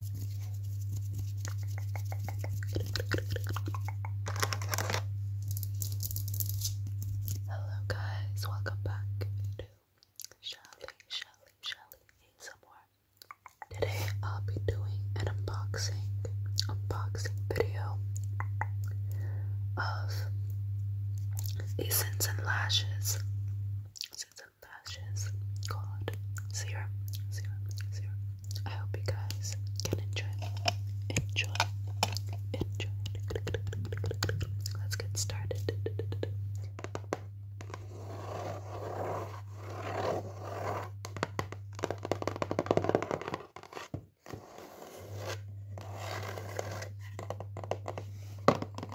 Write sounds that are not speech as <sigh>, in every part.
Hello guys, welcome back to Shelly, Shelly, Shelly ASMR. Today I'll be doing an unboxing, unboxing video of Essence and Lashes lashes and lashes called Zero Zero Zero. I hope you guys can enjoy Enjoy. Enjoy. Let's get started.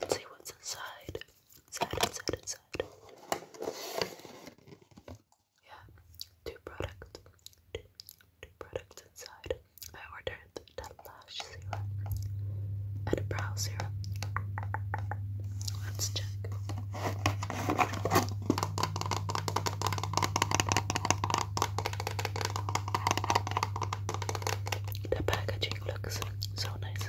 Let's see what's inside. Inside, inside, inside. Yeah, two products. Two, products inside. I ordered that lash serum and a brow serum. Let's check. The packaging looks so nice.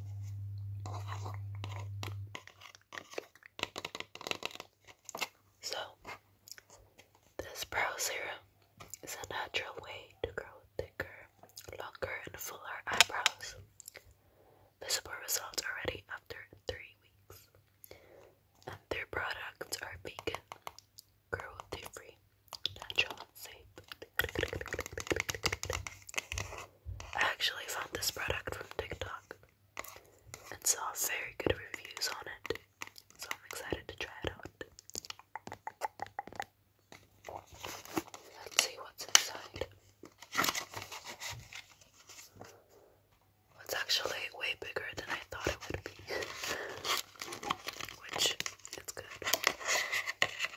So, this brow serum is a natural way to grow thicker, longer, and fuller eyebrows. Visible results already after three weeks. And their products are vegan, cruelty free, natural, safe. I actually found this product from TikTok and saw very good reviews on it, so I'm excited to try it out. Let's see what's inside. It's actually way bigger than I thought it would be, <laughs> which it's good.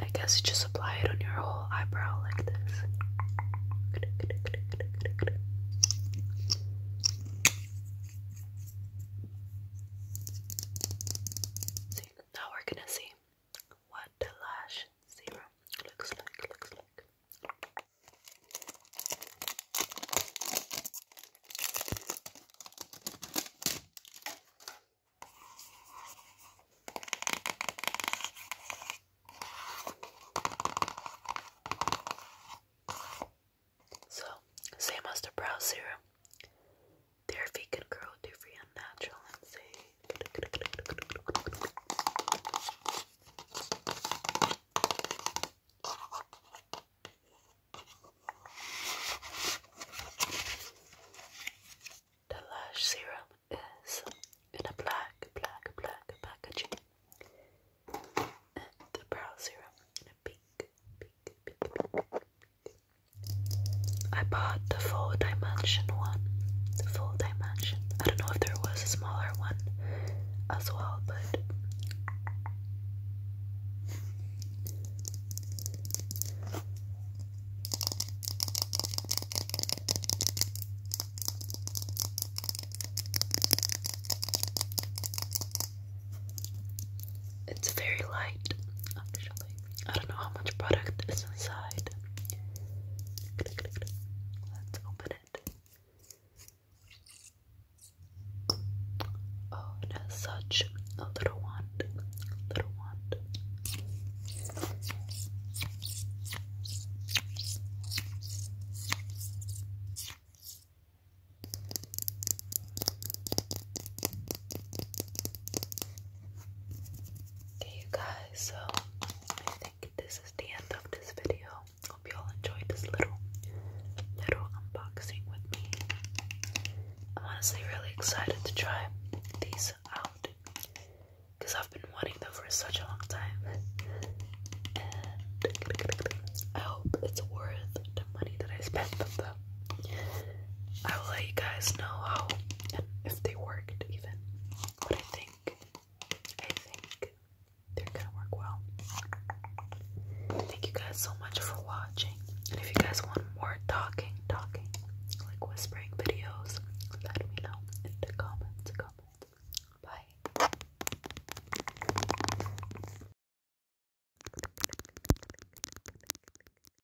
I guess you just apply it on your whole eyebrow like this. now we're gonna see what the lash serum Looks like. So, same as the brow serum, therapy can grow free and natural and safe. The lash serum is in a black, black, black packaging, and the brow serum in a pink, pink, pink, pink. I bought the full dimension one. The full dimension. I don't know if there was a smaller one one as well, but it's very light actually. I don't know how much product is inside. Let's open it. Oh, it such a little wand. Little wand. Okay, you guys, so I think this is the end of this video. Hope you all enjoyed this little little unboxing with me. I'm honestly really excited to try these out because I've been wanting them for such a long time. I hope it's worth the money that I spent them. I will let you guys know how if they worked but I think I think they're gonna work well. Thank you guys so much for watching. And if you guys want more talking, talking, like whispering videos, let me know in the comments. Comments. Bye.